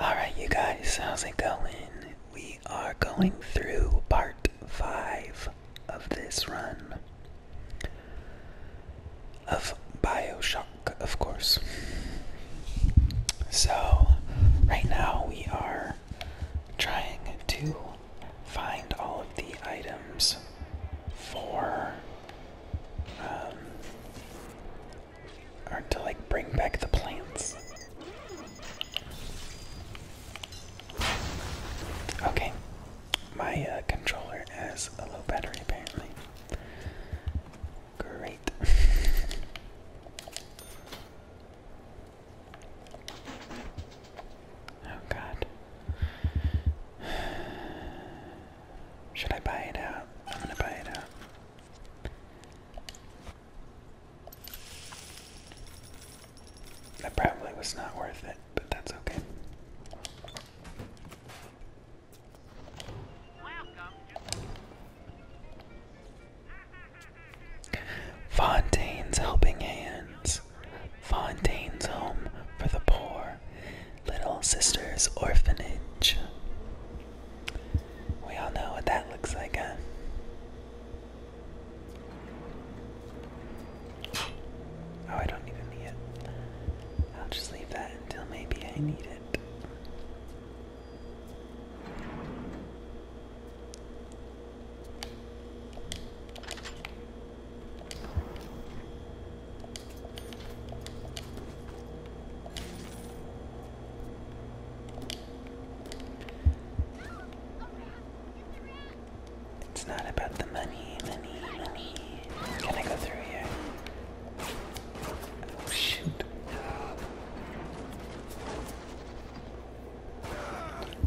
Alright, you guys, how's it going? We are going through part 5 of this run. Of Bioshock, of course. So, right now we are trying to find all of the items for um, or to like bring back the plants. Okay, my uh, controller has a low battery apparently. Great. oh god. Should I buy it out? I'm gonna buy it out. That probably was not worth it, but that's okay. Fontaine's Helping Hands. Fontaine's Home for the Poor. Little Sisters Orphanage. We all know what that looks like, huh? Oh, I don't even need it. I'll just leave that until maybe I need it. It's not about the money, money, money. Can I go through here? Oh shoot.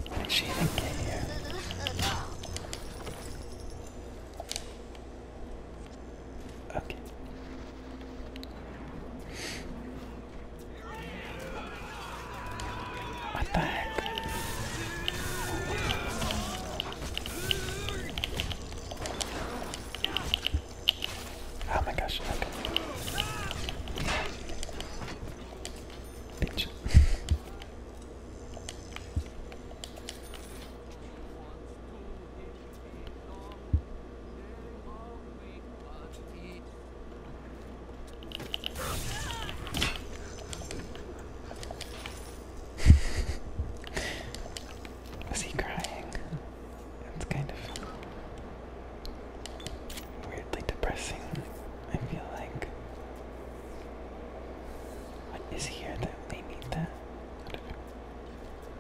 Why did she even get here? Okay. What the heck? Oh my gosh, okay. Is he crying? It's kind of weirdly depressing, I feel like. What is here that they that?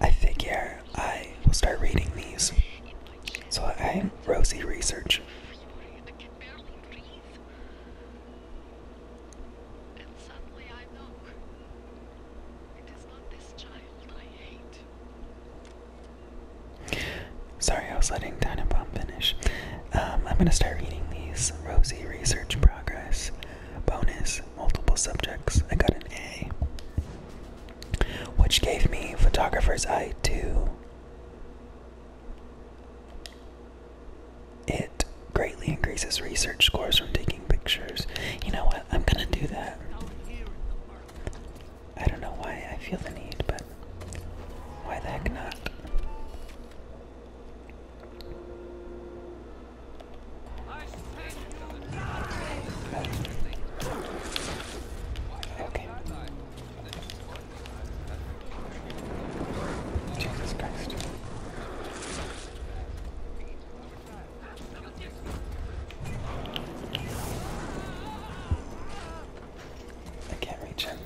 I figure I will start reading these. So I'm Rosie Research. Sorry, I was letting Dinah finish. Um, I'm gonna start reading these. Rosie Research Progress. Bonus, multiple subjects, I got an A, which gave me Photographer's Eye too. It greatly increases research scores from taking pictures. You know what? I'm gonna do that. I don't know why I feel the need, but why the heck not? Okay. Jesus Christ. I can't reach him.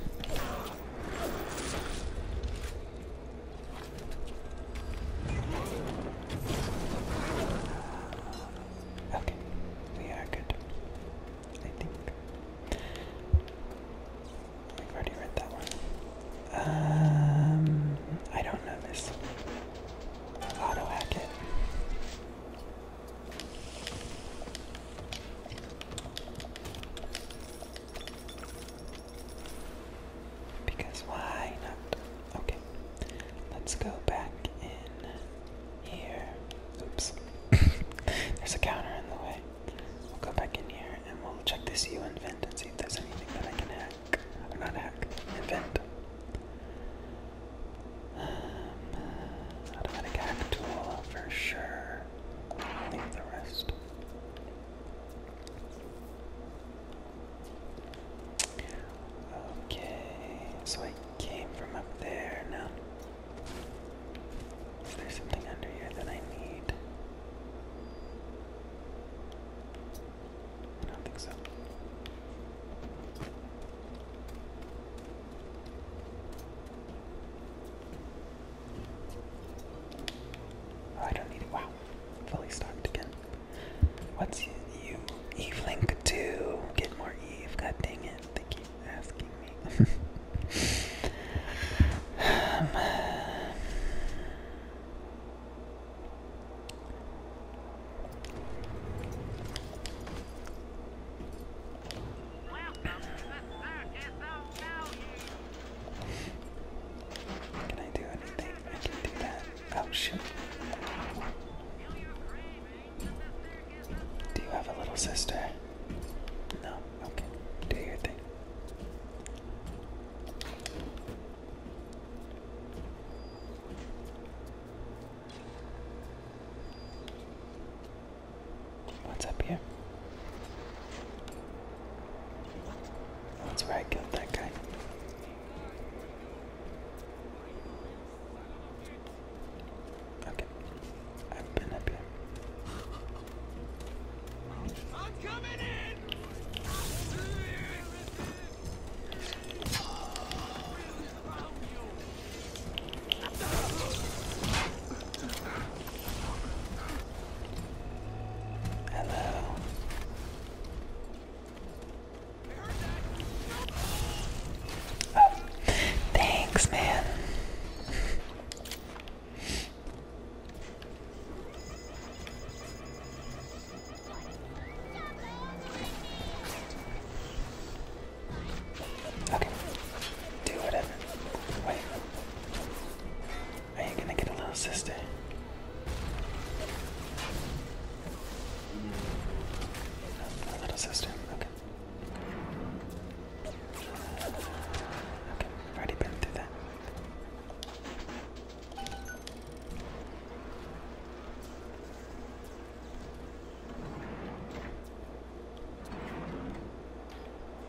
Okay, we are good. I think. I've already read that one. Um, I don't know this. Auto because why not? Okay, let's go back in here. Oops, there's a counter in the way. We'll go back in here and we'll check this U and vent and see if there's anything that I can hack. Or not hack, invent. Um, uh, automatic hack tool for sure. Leave the rest. Okay, so I came from up there now. Is there something under here that I need? I don't think so. I don't need it. Wow. Fully stocked again. What's you, you Eve link to? Get more Eve. God dang it. They keep asking me. Welcome to can I do anything? I can do that. Oh shoot. Do you have a little sister? No. Okay. Do your thing. What's up here? That's where I killed that guy. Okay. I've been up here. I'm coming in. Hello. thanks, man. Okay. Do whatever. Wait. Are you gonna get a little sister? A little sister, okay. Okay, already been through that.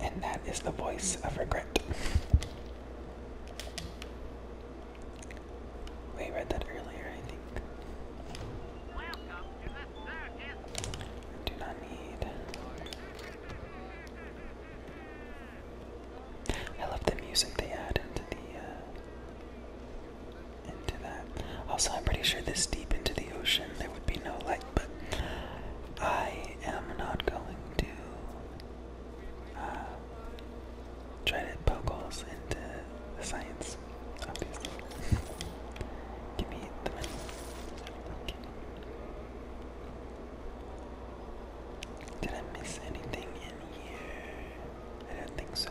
And that is the voice of regret. We read that earlier, I think. Do not need. I love the music they add into the uh, also, I'm pretty sure this deep into the ocean there would be no light, but I am not going to uh, try to poke holes into the science, obviously. Give me the Did I miss anything in here? I don't think so.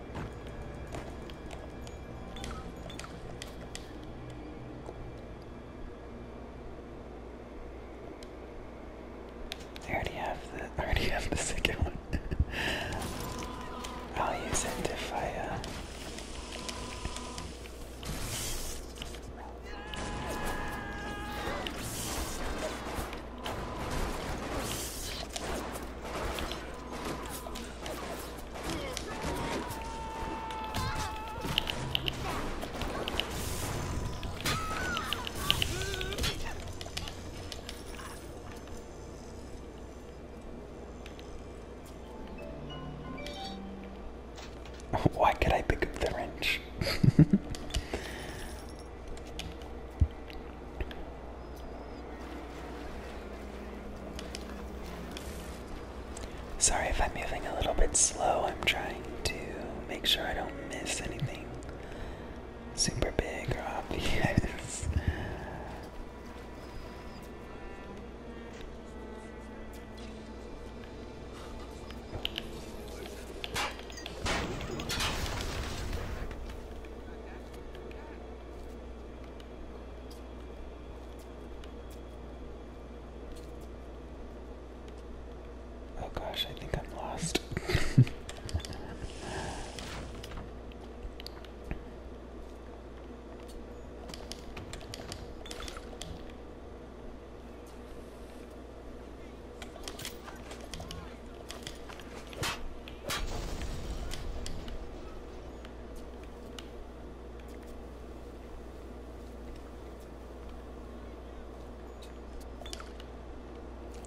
I already have the I already have the second one. I'll use it if I Why could I pick up the wrench? Sorry if I'm moving a little bit slow. I'm trying to make sure I don't miss anything super big or obvious. Oh gosh, I think I'm lost.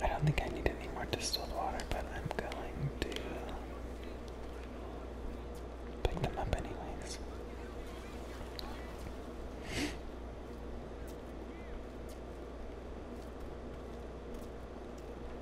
I don't think I need any more distilled water, but I'm going to pick them up anyways.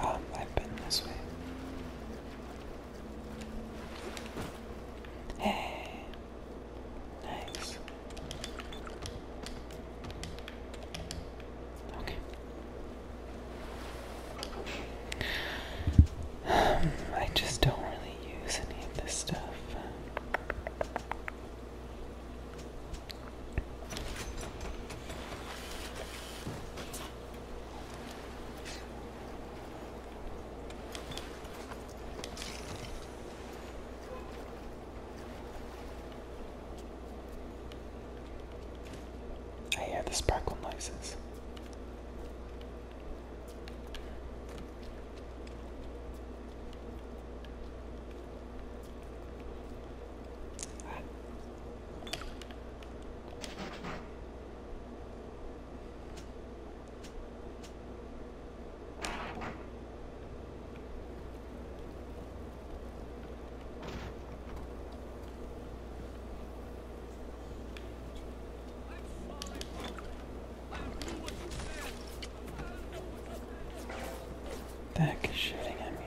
Um, I've been this way. Hey, nice. Okay. Um, I just don't really use any of this stuff. I had the sparkle noises. Ah, the heck is shooting at me?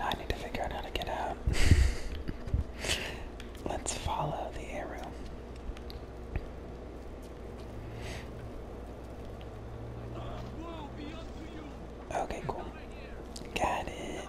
I need to figure out how to get out. Let's follow the arrow. Okay, cool. Got it.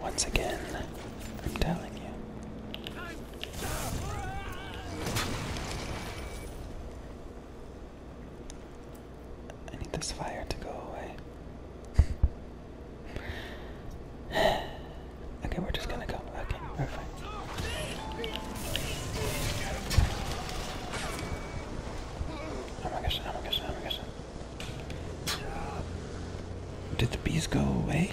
Once again, I'm telling you. I need this fire to go away. okay, we're just gonna go. Okay, we're fine. Oh my gosh, oh my gosh, oh my gosh. Did the bees go away?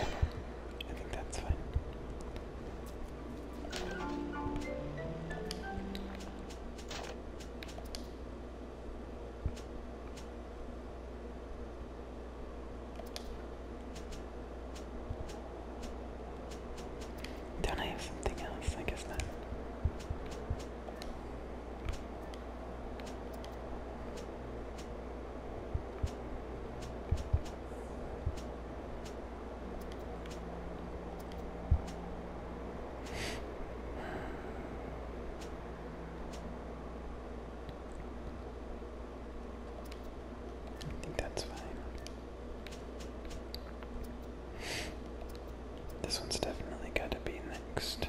I think that's fine. do I have something else? I guess not. I think that's fine. This one's definitely got to be next.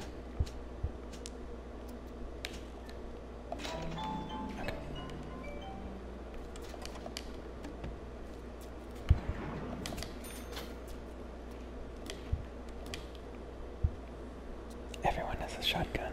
Everyone has a shotgun.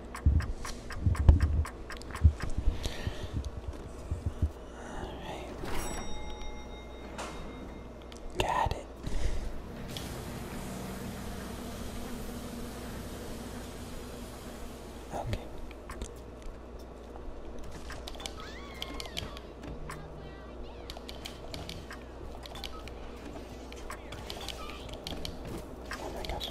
Got it. Okay. Oh my gosh.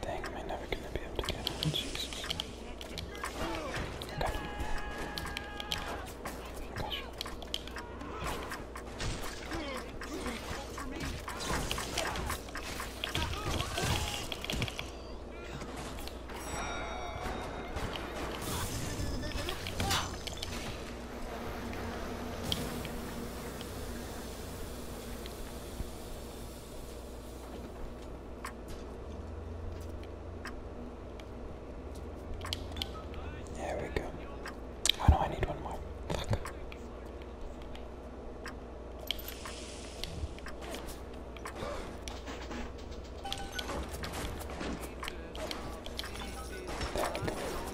Dang, am never gonna be able to get on? Jesus. There we go. Oh no, I need one more. Fuck. There we go.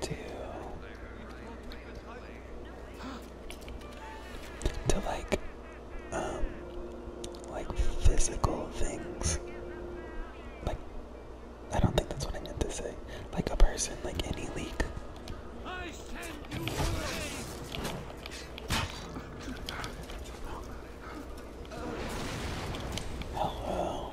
to to like um like physical things like I don't think that's what I meant to say like a person like any leak Hello.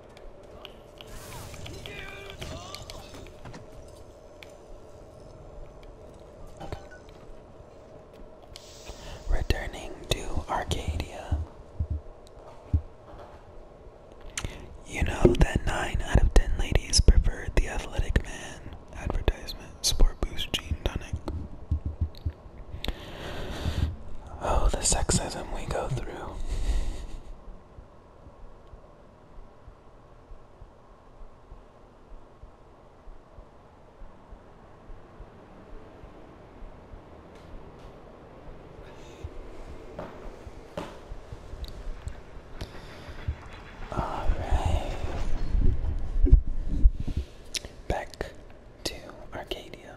Returning to Arcadia. You know that 9 out of 10 ladies preferred the athletic man advertisement Sport Boost Gene Tonic. Oh, the sexism we go through. All right. Back to Arcadia.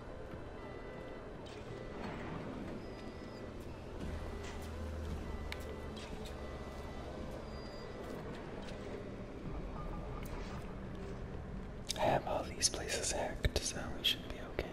I have all these places hacked, so we should be okay.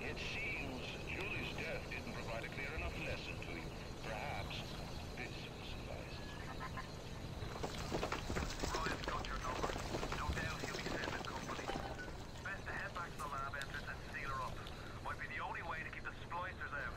It seems Julie's death didn't provide a clear enough lesson to you. Perhaps this will suffice. Ryan's got your number. No doubt he'll be sending company. Best to head back to the lab entrance and seal her up. Might be the only way to keep the splicers out.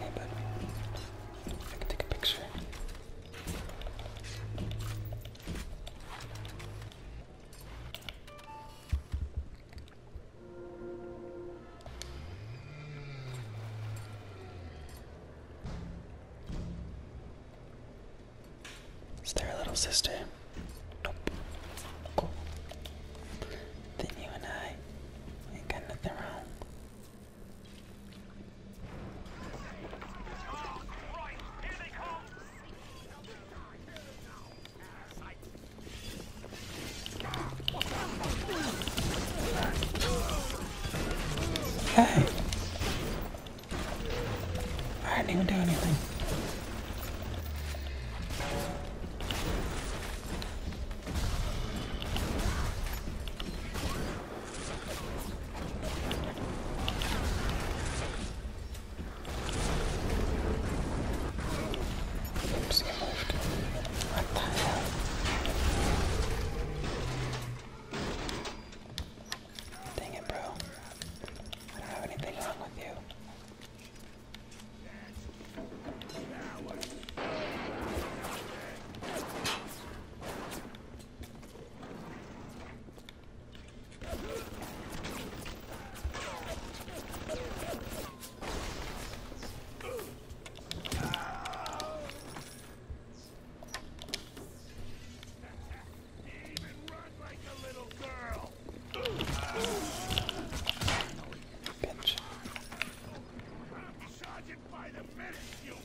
Not bad. I can take a picture. Is there a little sister? Nope. Cool. Then you and I ain't got nothing wrong. Hey! I didn't even do anything. Oops, it moved. What the hell? Dang it, bro. I don't have anything wrong with you. Bitch. Charge it by the minute, you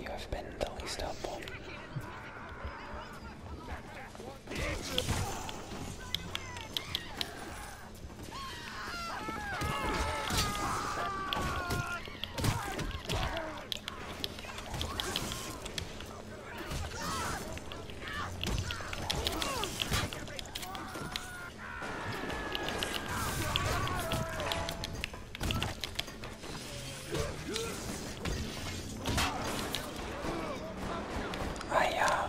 You have been the least helpful. I uh,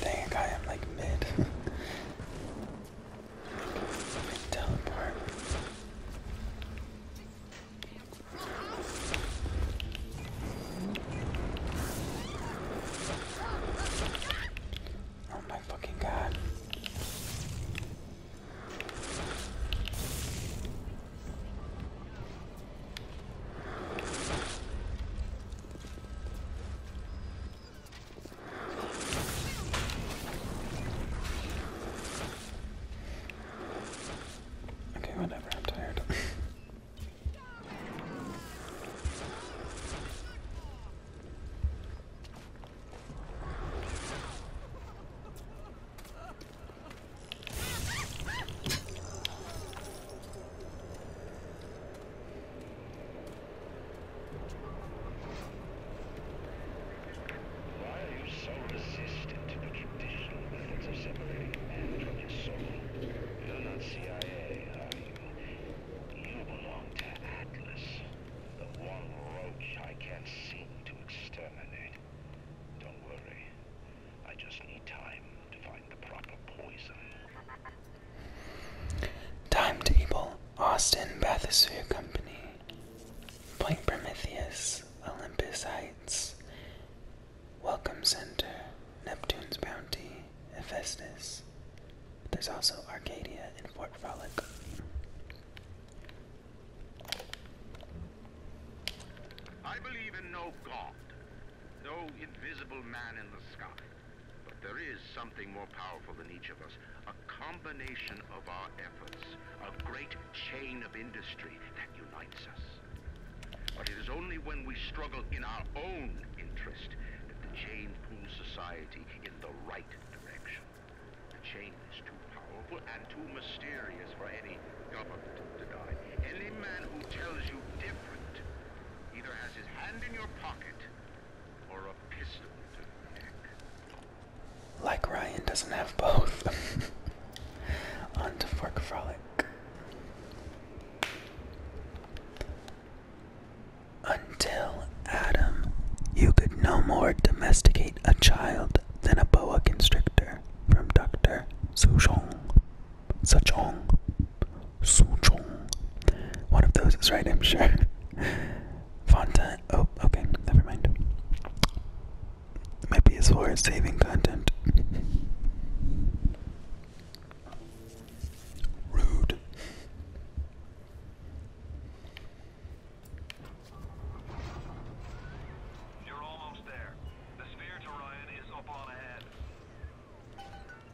Dang, I am like mid. teleport. Oh my fucking god. Okay, whatever, I'm tired. Why are are you you? You so resistant to to to the the traditional methods of from soul? not can't CIA belong Atlas, one roach I seem exterminate. Don't worry. I just need time to find the proper poison. Timetable Austin Bathysue Company, Point Prometheus, Olympus Heights, Welcome Center, Neptune's Bounty, Hephaestus. There's also Arcadia and Fort Frolic. But there is something more powerful than each of us, a combination of our efforts, a great chain of industry that unites us. But it is only when we struggle in our own interest that the chain pulls society in the right direction. The chain is too powerful and too mysterious for any government to deny. Any man who tells you different either has his hand in your pocket or a pistol Like Ryan doesn't have both. On to Fork Frolic. Until Adam, you could no more domesticate a child than a boa constrictor. From Dr. Suzhong. Sejong, Sujong. One of those is right, I'm sure. Fontaine. Oh, okay, never mind. It as far as saving content. Rude.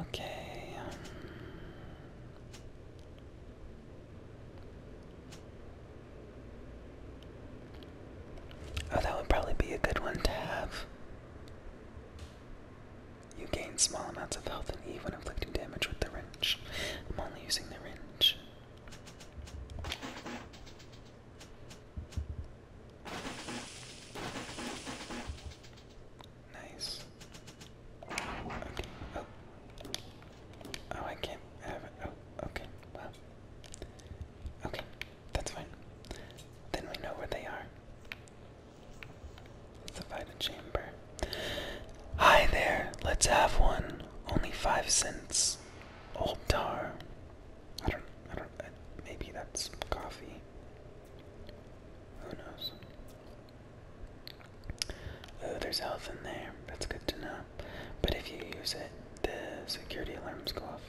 okay. Oh, that would probably be a good one to have. You gain small amounts of health and even when inflicting damage with the wrench. I'm only using the wrench. Nice. Okay. Oh. Oh, I can't have it. Oh, okay. Well. Okay. That's fine. Then we know where they are. It's the Vita Chamber. Hi there. Let's have one. Only five cents. Old tar. I don't. I don't. Uh, maybe that's coffee. Who knows? Oh, there's health in there. That's good to know. But if you use it, the security alarms go off.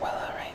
Well, alright.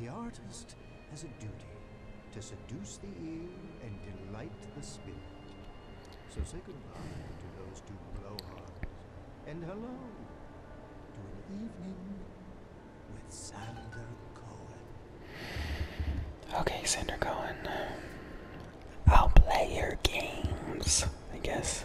The artist has a duty to seduce the eel and delight the spirit. So say goodbye to those two blowhards, and hello to an evening with Sander Cohen. Okay, Sander Cohen. I'll play your games, I guess.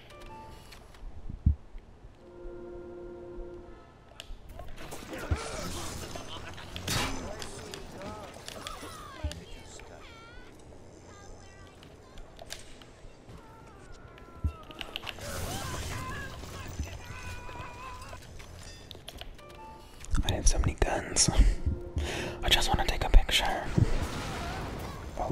I have so many guns. I just want to take a picture. Oh.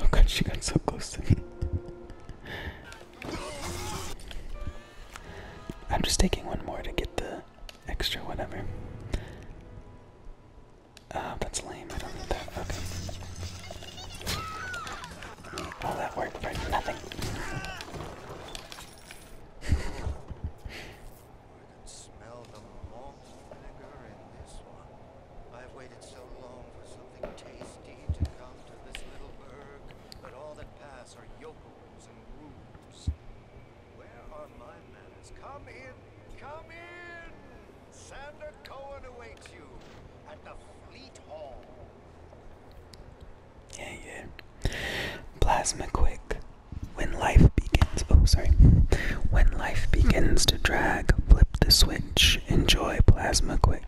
Oh god, she got so close to me. I'm just taking one more to get the extra whatever. Ah, that's lame. I don't need that. Okay. All that work for nothing. I have waited so long for something tasty to come to this little burg, but all that pass are yokels and rubes. Where are my manners? Come in, come in! Sander Cohen awaits you at the Fleet Hall. Yeah, yeah. Plasma quick. When life begins, oh, sorry. When life begins to drag, flip the switch. Enjoy plasma quick.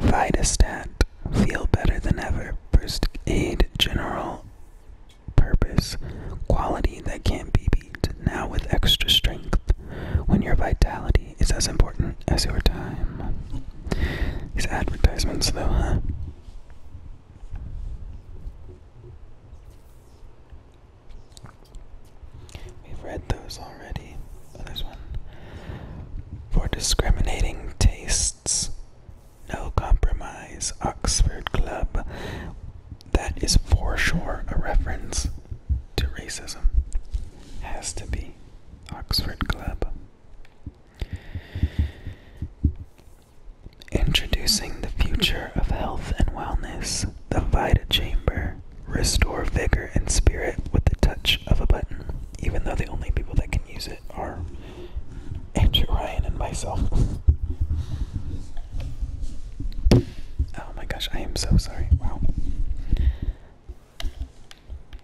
Vitastat. Feel better than ever. First aid, general purpose. Quality that can't be beat. Now with extra strength. When your vitality quality is as important as your time. These advertisements, though, huh? We've read those already. Oh, one. For discriminating tastes, no compromise, Oxford Club. That is for sure a reference to racism. Has to be. Oxford Club. Introducing the future of health and wellness, the Vita Chamber. Restore vigor and spirit with the touch of a button, even though the only people that can use it are Angel Ryan and myself. oh my gosh, I am so sorry. Wow.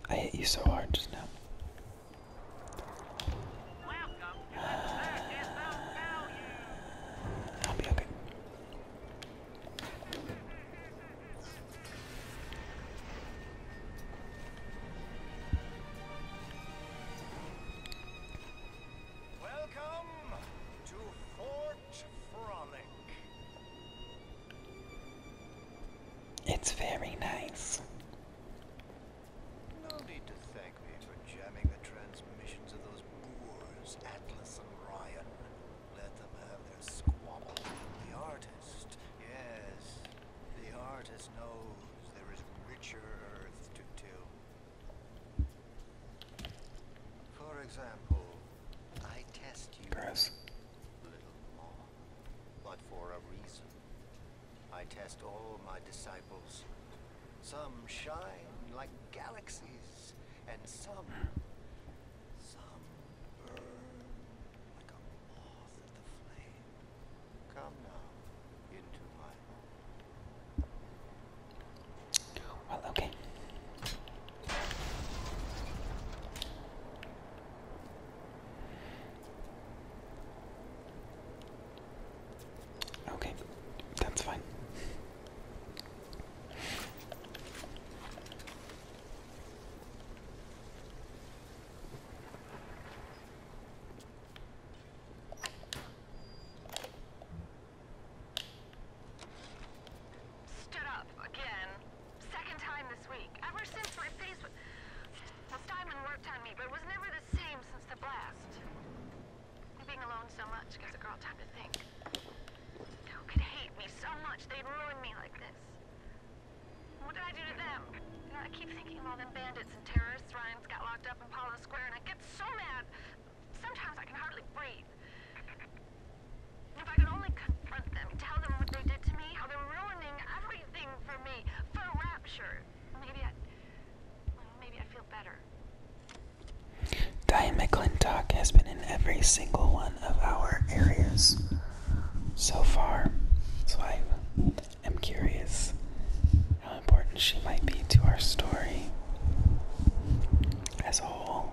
I hit you so hard just now. I'll be okay. Welcome to Fort Frolic. It's very nice. No need to thank me for jamming the transmissions of those boors, Atlas and Ryan. Let them have their squabble. The artist, yes, the artist knows there is richer earth to till. For example, I test you Gross but for a reason. I test all my disciples. Some shine like galaxies, and some, some burn like a moth at the flame. Come now into my Well, okay. Okay, that's fine. Stood up again. Second time this week. Ever since my face was... Well, Steinman worked on me, but it was never the same since the blast. Being alone so much gives a girl time to think. Who could hate me so much they'd ruin me like this? What did I do to them? I keep thinking of all them bandits and terrorists Ryan's got locked up in Paula Square, and I get so mad. Sometimes I can hardly breathe. If I could only confront them, tell them what they did to me, how they're ruining everything for me, for rapture. Maybe I, maybe I feel better. Diane McClintock has been in every single one of our areas so far, so I am curious how important she might be to our story as a whole.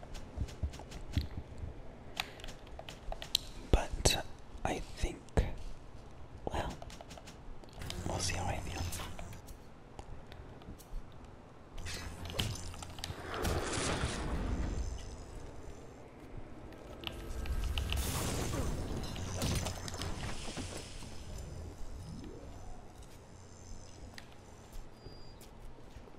But I think, well, we'll see how I feel.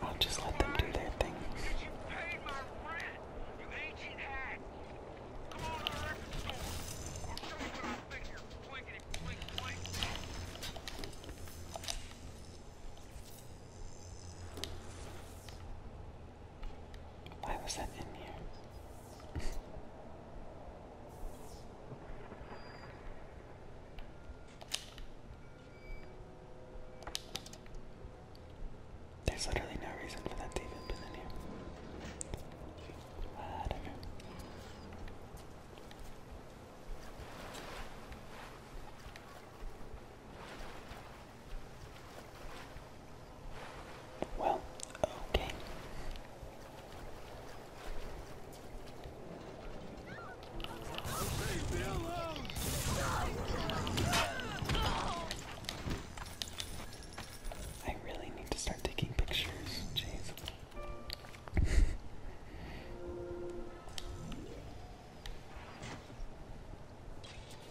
I'll just let them do their thing. You paid my rent, you ancient hack. Come on to the record store. I'll show you what I think you're blinkety blink blink. Why was that in here? There's literally no reason for that to even in here. Whatever. Well, okay. I really need to start taking pictures. Jeez.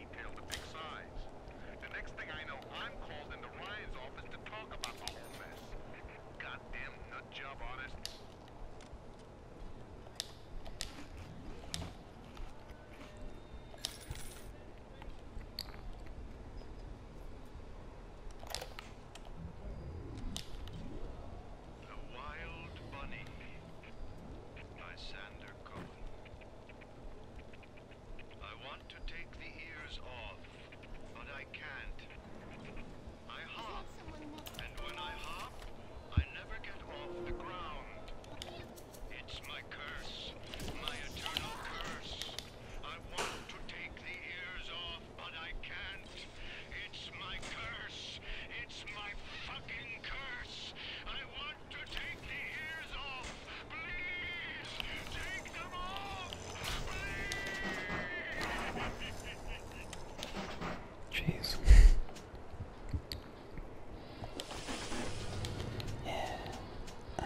The next thing I know, I'm called into Ryan's office to talk about the whole mess. Goddamn nut job artist. Sander Cohen. I want to take the ears off, but I can't. I hop, and when I hop, I never get off the ground. It's my curse, my eternal curse. I want to take the ears off, but I can't. It's my curse. It's my fucking curse. I want Jeez. yeah. Uh,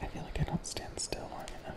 I feel like I don't stand still long enough.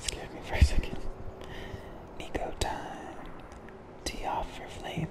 Scared me for a second. Nico time. Tea for flavor.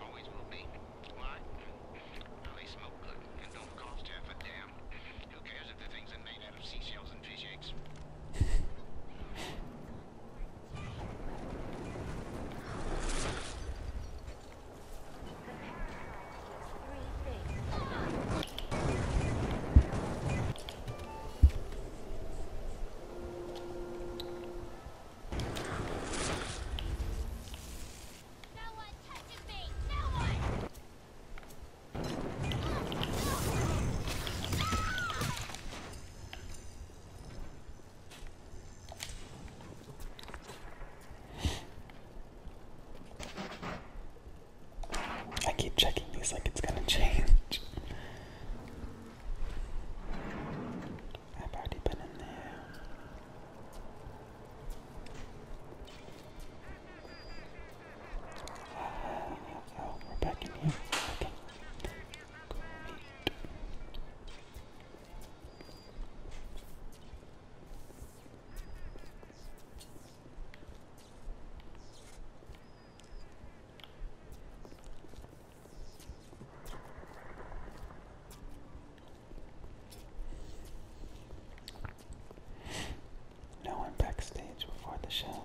always will be. Why? Well, they smoke good and don't cost half a damn. Who cares if the things are made out of seashells and fish eggs? I keep checking these like it's gonna change. I've already been in there. Uh, oh, we're back in here. Okay. No one backstage before the show.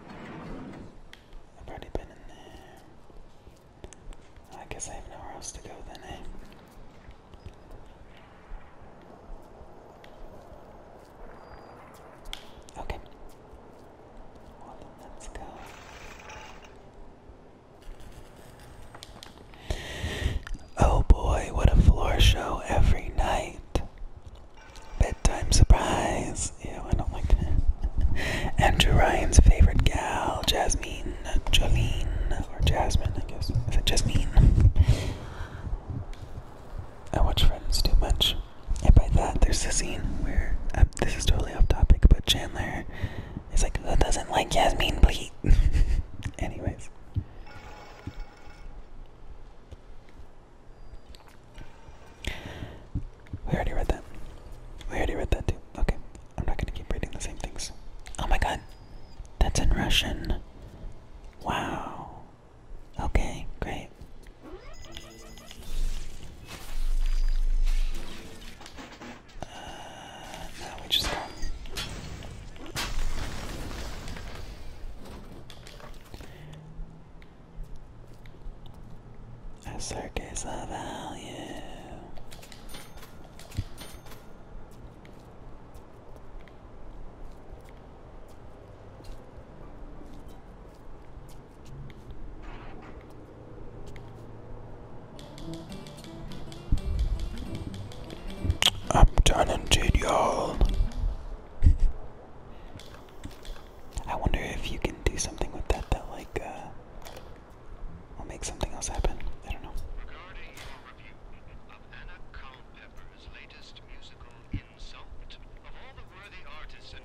I've already been in there. I guess I have nowhere else to go then, eh? Okay. let's go. Oh boy, what a floor show every night. Bedtime surprise. Ew, I don't like that. Andrew Ryan's favorite gal, Jasmine, Jolene, or Jasmine, I guess. Is it Jasmine? I watch Friends too much. And by that, there's the scene where, uh, this is totally off topic, but Chandler it's like, who doesn't like Jasmine Bleed? Anyways. We already read that. We already read that too. Okay, I'm not gonna keep reading the same things. Oh my god, that's in Russian. Wow. Okay, great. Uh, we just go. A circus of value. I'm done talented, y'all. I wonder if you can do something with that that like uh will make something else happen. I don't know. Regarding review of Anna Culpepper's latest musical insult, of all the worthy artists and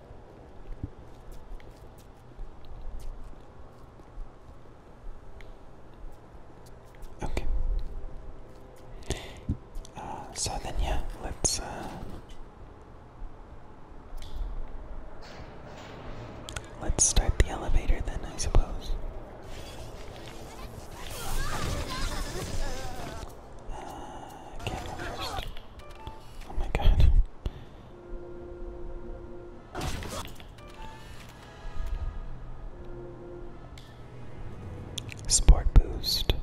Okay. Uh, so then, yeah, let's. Uh, let's start the elevator then, I suppose. camera uh, first. Oh my god. Sport boost.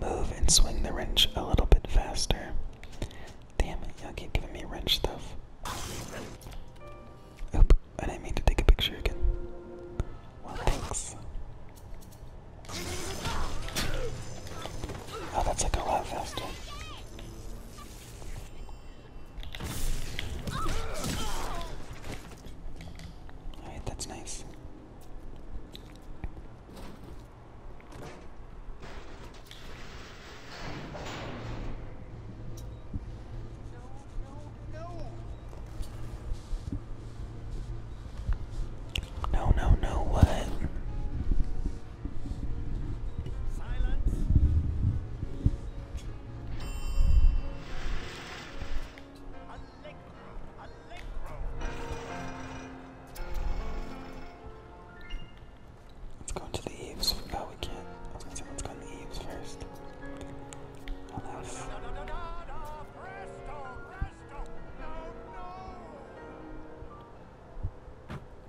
Move and swing the wrench a little bit faster. Damn it, y'all keep giving me wrench stuff. Oop, I didn't mean to take a picture again. Well, thanks. Oh, that's like a lot faster. Alright, that's nice. No, no, no, what? Let's go into the eaves. Oh, we can't. let's go in the eaves first. Unless.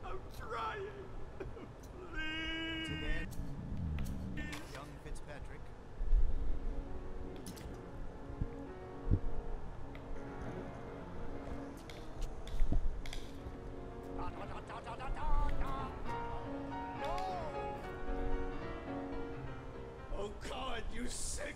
I'm trying. Please. young Fitzpatrick. No! Oh God, you sick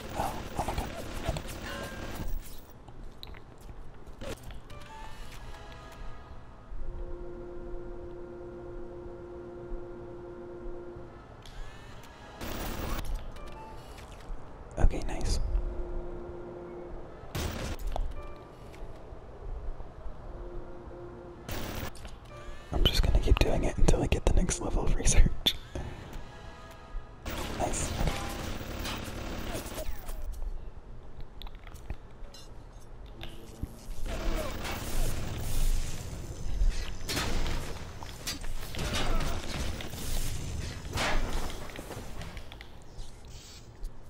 Okay, nice. I'm just gonna keep doing it until I get the next level of research. Nice.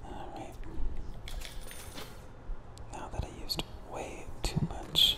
All right. Now that I used way too much